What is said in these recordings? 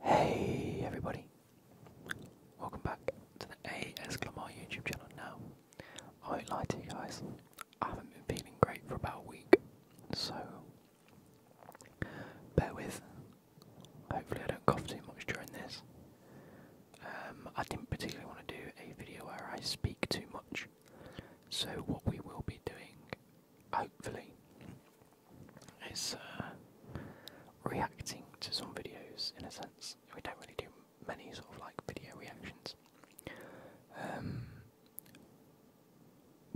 Hey everybody, welcome back to the AS YouTube channel now. I won't lie to you guys, I haven't been feeling great for about a week, so bear with. Hopefully I don't cough too much during this. Um, I didn't particularly want to do a video where I speak too much, so what we will be doing, hopefully, is uh, reacting to some videos in a sense. We don't really do many sort of like video reactions. Um,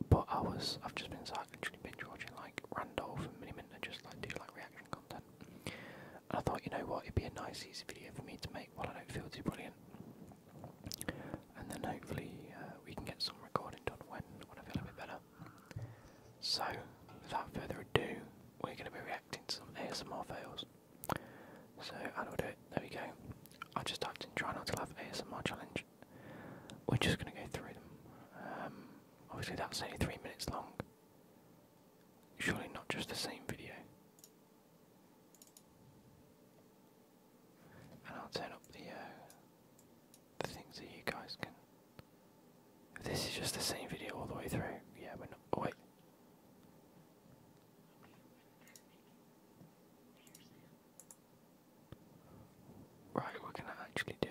but I was, I've just been sat literally binge watching like Randolph and Minnie Minter just like do like reaction content. And I thought, you know what, it'd be a nice easy video for me to make while I don't feel too brilliant. And then hopefully uh, we can get some recording done when, when I feel a bit better. So, without further ado, we're going to be reacting to some ASMR fails. So, I'll do it? There we go. I just typed in try not to laugh ASMR challenge. We're just going to go through them. Um, obviously, that's only three minutes long. Surely not just the same video. And I'll turn up the uh, the things that you guys can. this is just the same video all the way through, yeah, we're not. Oh, wait. Right, we're going actually do.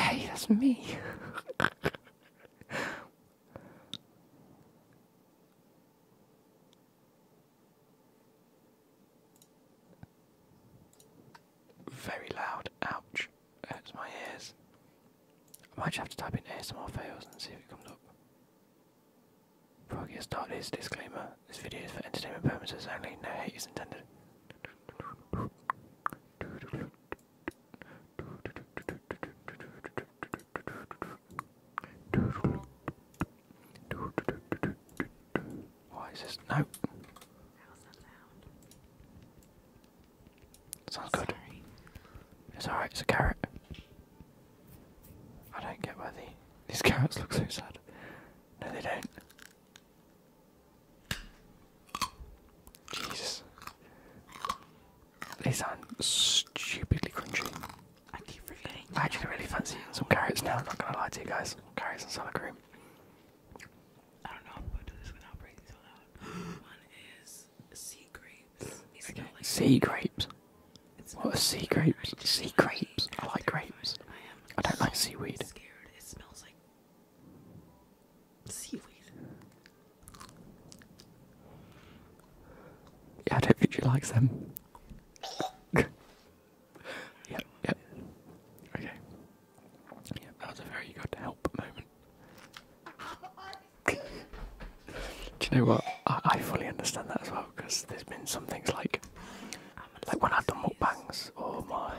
Hey, that's me. Very loud. Ouch. Hurts my ears. I might just have to type in ASMR fails and see if it comes up. Before I get started, disclaimer. This video is for entertainment purposes only. No hate is intended. Why is this? No. Sounds good. It's alright, it's a carrot. I don't get why the, these carrots look so sad. No, they don't. Jesus. These are stupidly crunchy. actually really fancy some carrots now, I'm not gonna lie to you guys. Carrots and sour cream. I don't know if I'm gonna do this without breathing so loud. One is sea grapes. sea grapes. what are sea grapes? Sea grapes. I like grapes. I, don't like seaweed. Scared. It smells like seaweed. Yeah, I don't think she likes them. yep, yep. Okay. Yeah, that was a very good help moment. Do you know what? I, I fully understand that as well because there's been some things like, like when I've done mukbangs or my,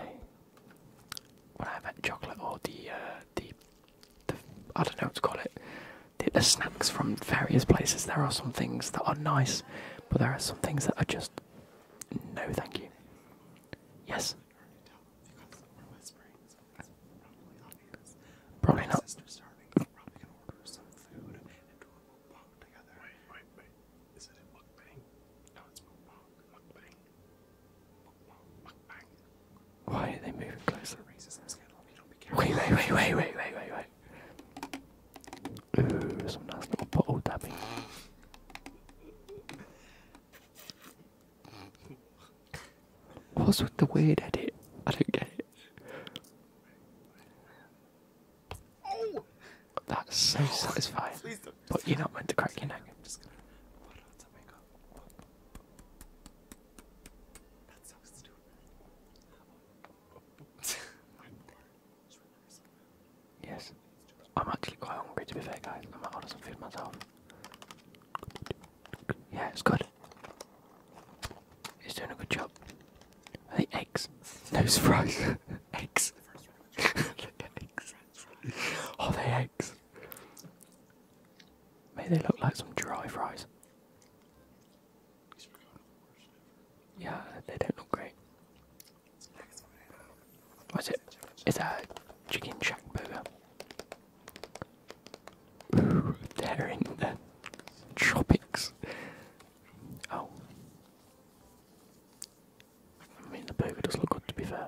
when I've had chocolate or uh, the, the, I don't know what to call it, the snacks from various places. There are some things that are nice, but there are some things that are just no, thank you. Yes. Probably not. Why are they moving closer? Wait, wait, wait, wait, wait, wait, wait, wait. Ooh, some nice little bottle dabbing. What's with the weird edit? I don't get it. Oh. That's so oh, satisfying. But you're not meant to crack your neck. That sucks yes, I'm actually quite hungry to be fair, guys. I am gonna order some feed myself. Yeah, it's good. It's doing a good job. The eggs. No surprise. eggs. eggs. Oh, they eggs. May they look like some dry fries. Yeah, they don't look great. What's it? It's a chicken shack burger. Ooh, they're in the tropics. Oh. I mean, the burger does look good to be fair.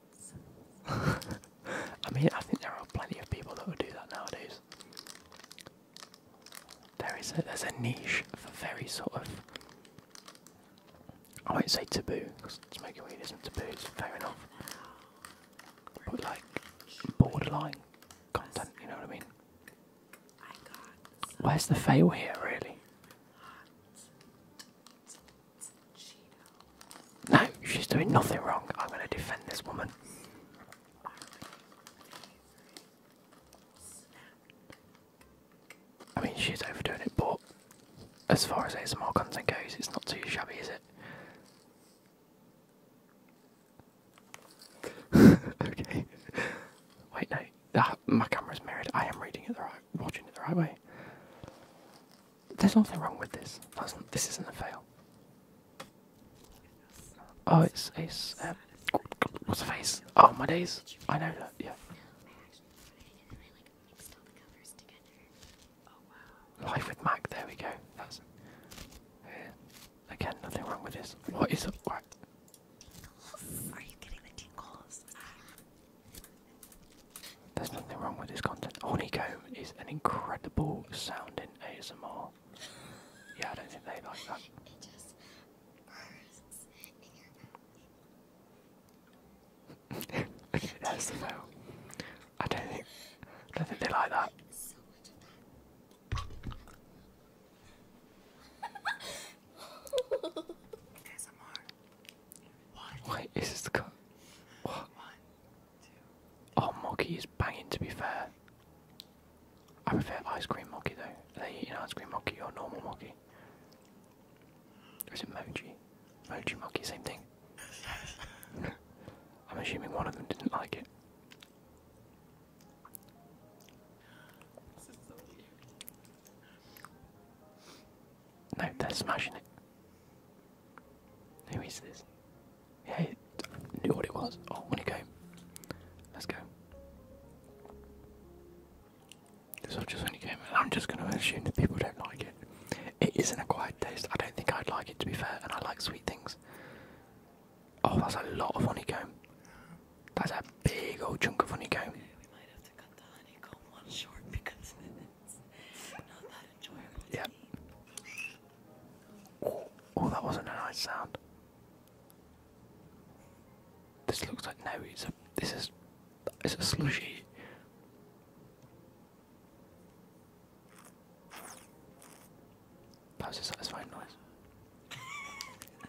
I mean, I think there are plenty of people that would do that nowadays. There is a there's a niche for very sort of I won't say taboo because smoking weed isn't taboo. It's fair enough, but like borderline content, you know what I mean? Where's the fail here, really? No, she's doing nothing wrong. I'm going to defend this woman. I mean, she's overdoing it, but as far as ASMR content goes, it's not too shabby, is it? okay. Wait, no. Ah, my camera's mirrored. I am reading it the right watching it the right way. There's nothing wrong with this. this isn't a fail. Oh, it's it's. Um, what's the face? Oh my days! I know that. Yeah. Life with Mac. There we go. That's. Again, nothing wrong with this. What is it? Are you getting the tingles? There's nothing wrong with this content. Honeycomb is an incredible sounding ASMR. Yeah, I don't think they like that. It I don't think I don't think they like that. One, Wait, is this the cut? What? One, two, oh, is banging to be fair. I prefer ice cream Moggy though. Are they eating ice cream Moggy or normal Moggy? Or is it Moji? Moji Moggy, same thing. I'm assuming one of them didn't like it. No, they're smashing it. Who is this? Yeah, knew what it was. Oh, when it came. Let's go. This is just when and I'm just going to assume that people don't like it. It is isn't a acquired taste. I don't think I'd like it, to be fair, and I like sweet things. Oh, that's a lot of honeycomb. That's a big old chunk of honeycomb. Yeah. Oh, that wasn't a nice sound. This looks like no. It's a. This is. It's a slushy. That was a satisfying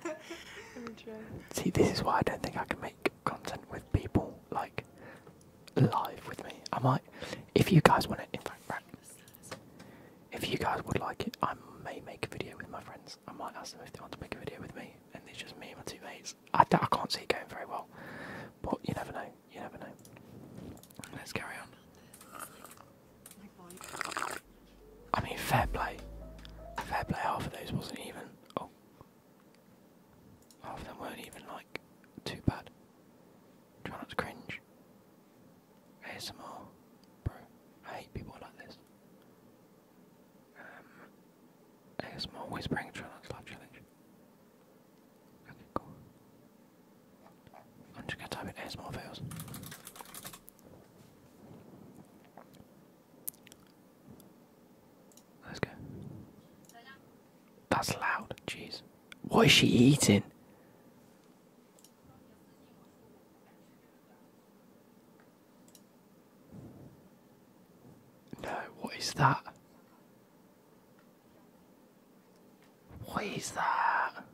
noise. See, this is why I don't think I can make content with people like live with me. I might, if you guys want it. In fact, if you guys would like it, I may make a video with my friends. I might ask them if they want to make a video with me, and it's just me and my two mates. I, I can't see it going very well, but you never know. You never know. Let's carry on. I mean, fair play. Fair play. Half of those wasn't even. Oh, Half of them weren't even like too bad. Try not to cringe. ASMR, bro. I hate people like this. ASMR whispering try not challenge. Okay, cool. I'm just gonna type in ASMR fails. Let's go. That's loud. Jeez. What is she eating? No, what is that? What is that?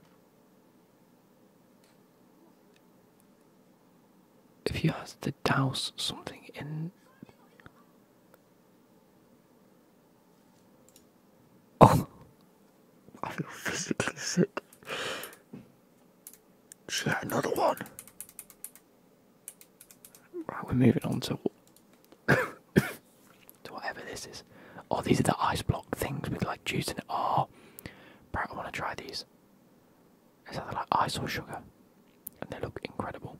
if you have to douse something in Oh I feel physically sick. She had another one. Right, we're moving on to whatever this is. Oh, these are the ice block things with like juice in it. Oh, Brad, I want to try these. It's something like ice or sugar, and they look incredible.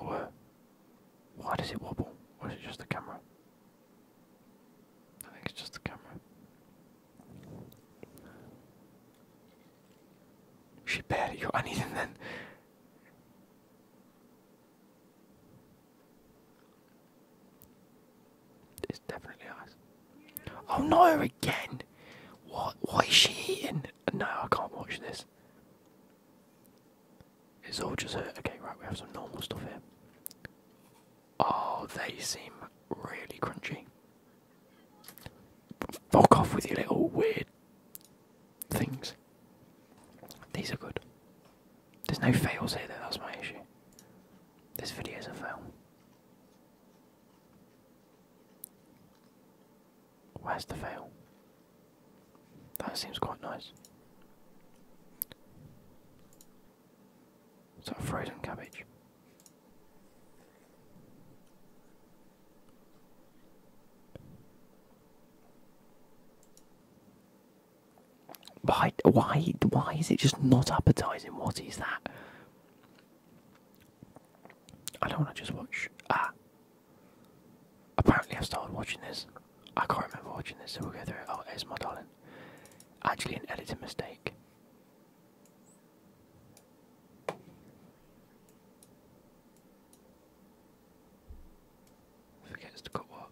Or uh, why does it wobble? Or is it just the camera? I think it's just the camera. She barely got anything then. It's definitely ice. Oh no, again! What? What is she eating? No, I can't watch this. It's all just hurt. Okay, right, we have some normal stuff here. Oh, they seem really crunchy. Fuck off with your little weird things. These are good. There's no fails here that's my issue. This video is a fail. Where's the veil? That seems quite nice. Is a frozen cabbage? Why, why, why is it just not appetizing? What is that? I don't want to just watch. Ah! Apparently, I've started watching this. I can't remember watching this, so we'll go through it. Oh, it's my darling. Actually, an editing mistake. Forgets to cut what?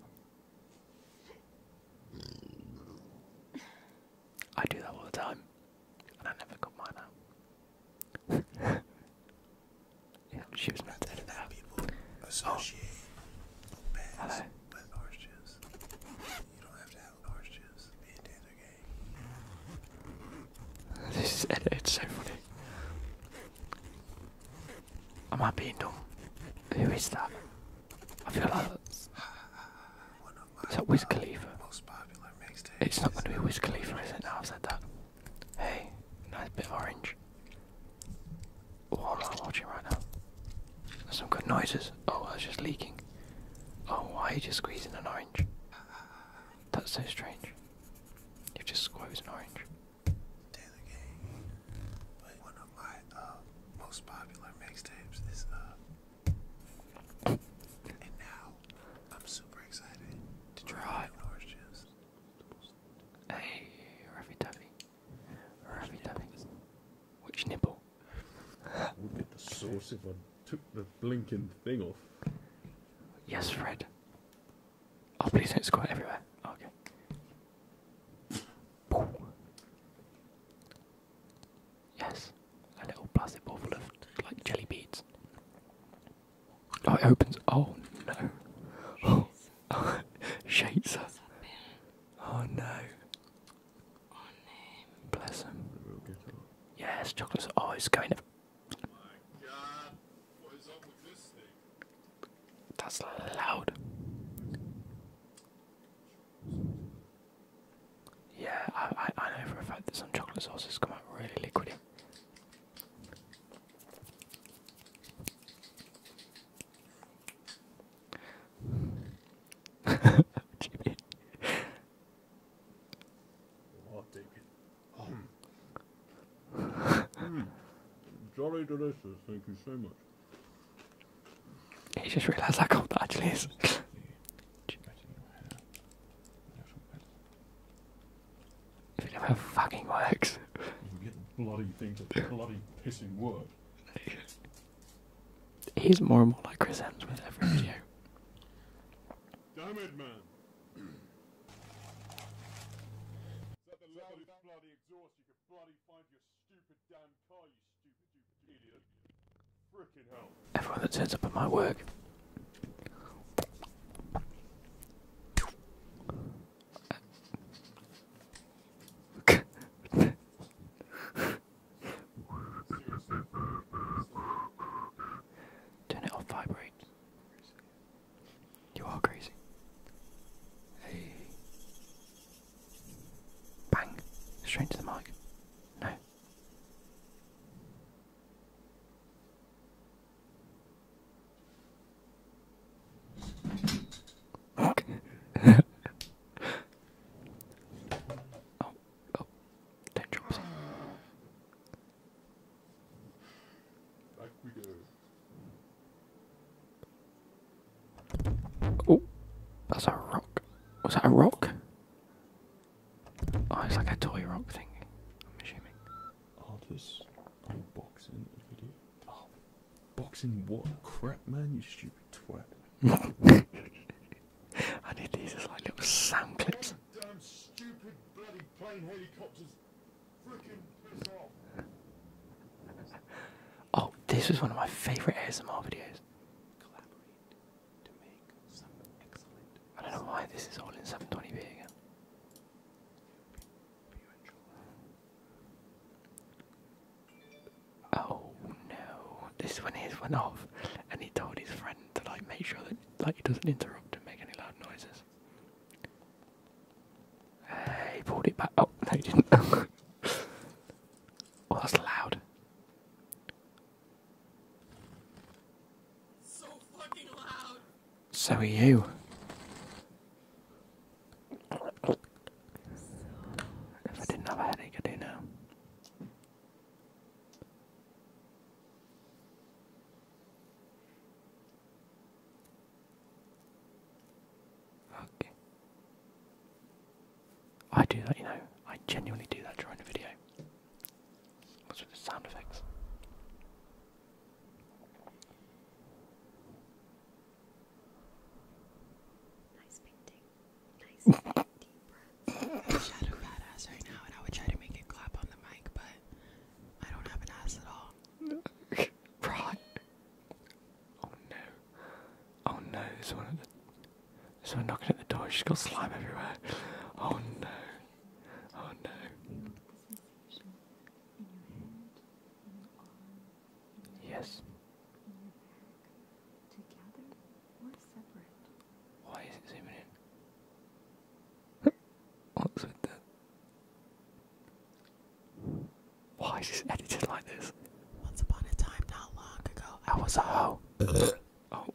I do that all the time, and I never cut mine out she was not that associate oh. bass with orange This is it's so funny. Am I being dumb? Who is that? I feel like is that Wiz Khalifa? It's not going to be Wiz Khalifa, is it? Now I've said that. Hey, nice bit of orange. Oh, am not watching right now. some good noises. Oh, that's just leaking. Oh, why are you just squeezing an orange? That's so strange. You've just squeezed an orange. And now I'm super excited to try right. orange juice. Hey, Ruffy Duffy. Ruffy Duffy. Which nibble? Would will get the sauce if I took the blinking thing off. Yes, Fred. Oh, please don't squirt everywhere. Okay. Yes, a little plastic ball of like jelly beads. Oh, it opens. Oh no! Oh, oh. shakes her. Oh no! Bless him. Yes, chocolates. Oh, it's going. up That's loud. Yeah, I, I, know for a fact that some chocolate sauces come out really liquidy. Jimmy. I'll take Jolly delicious, thank you so much. He just realised how cold that actually is. If it never fucking works. I'm getting bloody things of bloody pissing work. He's more and more like Chris Evans with every video. Damn it, man! Everyone that turns up at my work. Turn it off, vibrate. You are crazy. Hey. Bang. Straight to the mic. No. Okay. oh, oh, ten jobs. Oh, that's a rock. Was that a rock? Oh, it's like a toy rock thing, I'm assuming. Oh, this unboxing video. Oh, what? Crap, man, you stupid twat. I need these as like little sound clips. Damn stupid bloody plane helicopters. Freaking piss off. Oh, this was one of my favourite ASMR videos. I don't know why this is all in 720p again. Oh no! This one is one off, and he told his friend to like make sure that like he doesn't interrupt and make any loud noises. Uh, he pulled it back. Oh no, he didn't. oh, that's loud. So are you. if I didn't have a headache, I do now. Okay. I do that, you know. I genuinely do that during the video. What's with the sound effects? Nice painting. Nice deep breath. Shadow fat right now, and I would try to make it clap on the mic, but I don't have an ass at all. right. Oh no. Oh no, it's one of the Someone knocking at the door. She's got slime everywhere. Oh no. Oh no. Yes. Together or separate? Why is it zooming in? What's with that? Why is this edited like this? Once upon a time, not long ago, I was a hoe. oh.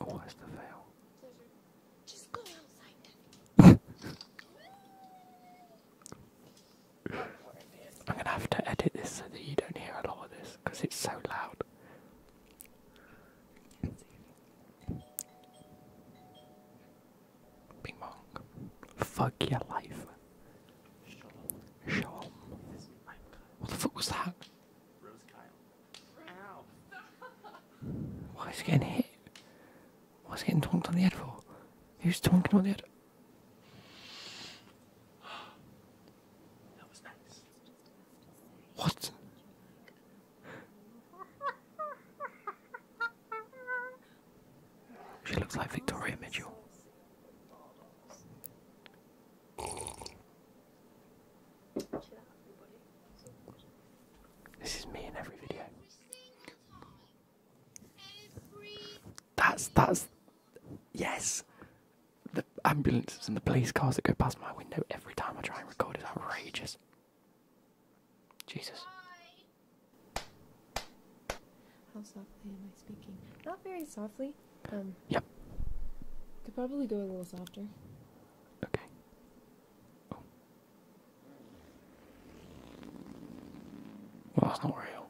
Oh, that's the veil. I'm gonna have to edit this so that you don't hear a lot of this because it's so loud. Bing bong. Fuck your life. What the fuck was that? Why is he getting hit? What's is getting tonked on the head for? Who's tonking on the head? that was nice. What? She looks like Victoria Mitchell. This is me in every video. That's that's yes. The ambulances and the police cars that go past my window every time I try and record is outrageous. Jesus. How softly am I speaking? Not very softly me? Um, yep. Could probably go a little softer. Okay. Oh. Well, that's not real.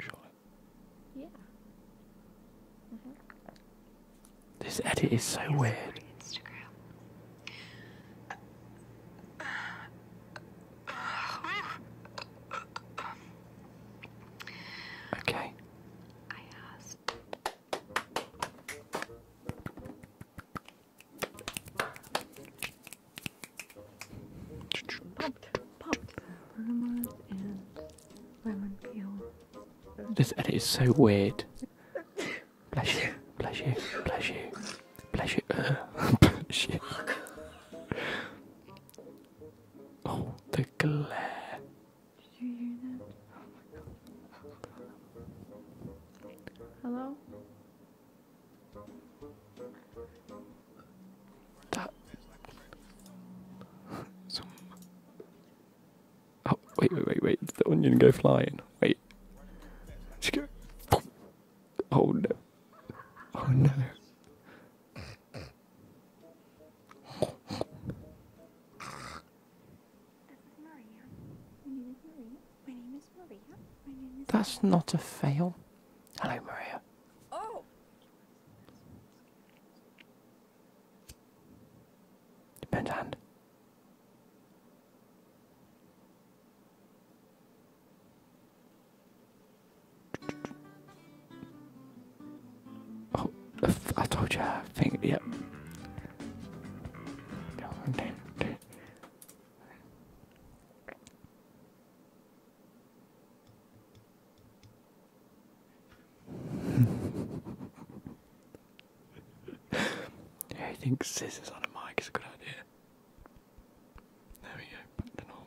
Surely. Yeah. -hmm. This edit is so weird. Okay. This edit is so weird. bless you, bless you, bless you, bless you. Oh, the glare. Did you hear that? Hello? That some Oh wait wait wait wait did the onion go flying? Wait. She go Oh no. Oh no. That's not a fail. Hello, Maria. Oh. Depends hand. Oh, I told you. I think. Yep. yeah, I think scissors on a mic is a good idea. There we go, back to normal.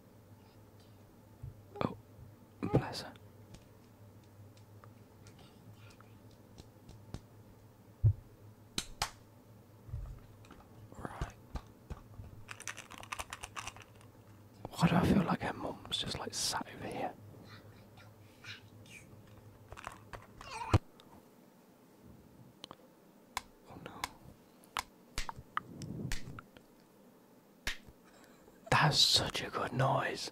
Oh, bless her. Right. Why do I feel like her mum's just like sat over here? Oh no. That's such a good noise.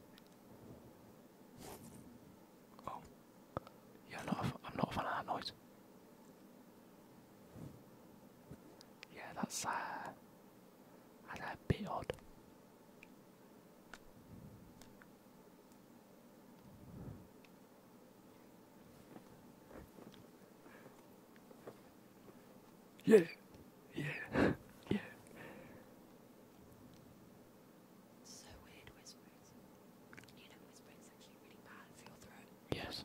Oh. yeah, I'm not. a fan of that noise. Yeah, that's uh, a bit odd. Yeah, yeah, yeah. So weird whispers. You whispering's actually really bad for your throat. Yes.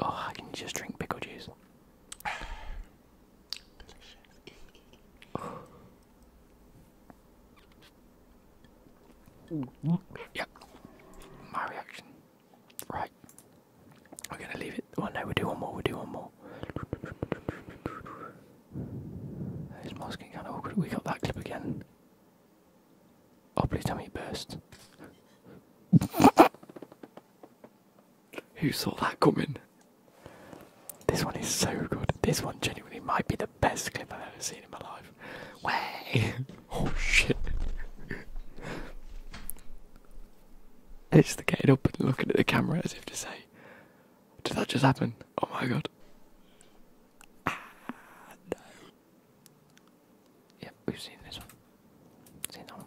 Oh, I can just drink pickle juice. Delicious. yep. My reaction. Right. We're gonna leave it. Oh no, we do one more, we do one more. This mask getting kinda awkward. We got that clip again. Oh please tell me burst. Who saw that coming? This one is so good. This one genuinely might be the best clip I've ever seen in my life. Way! oh shit. It's the getting up and looking at the camera as if to say, Did that just happen? Oh my god. Ah, we've seen this one. Seen that one.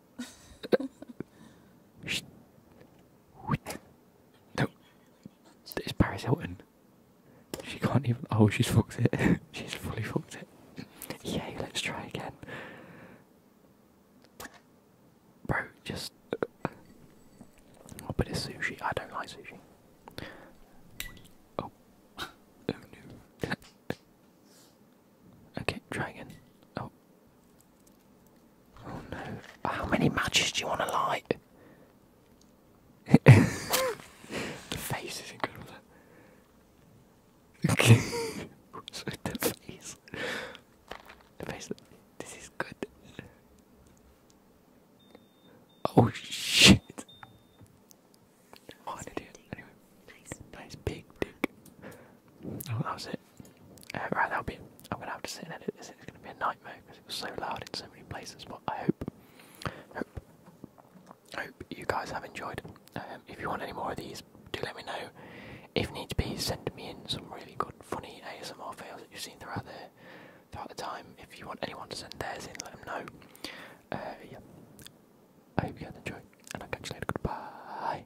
no, it's Paris Hilton. She can't even. Oh, she's fucked it. she's fully fucked it. Yeah, Let's try again, bro. Just a bit of sushi. I don't like sushi. Oh, oh okay, try again. Oh, Oh no. How many matches do you want to light? the face is incredible. Okay. What's with the face? The face. This is good. Oh shit. Oh, an Nice big dick. Oh, that was it right, that'll be. I'm gonna have to sit and edit this. It's gonna be a nightmare because it was so loud in so many places. But I hope, hope, hope you guys have enjoyed. Um, if you want any more of these, do let me know. If need be, send me in some really good, funny ASMR fails that you've seen throughout the throughout the time. If you want anyone to send theirs in, let them know. Uh, yeah. I hope you guys enjoy, and I'll catch you later. Goodbye.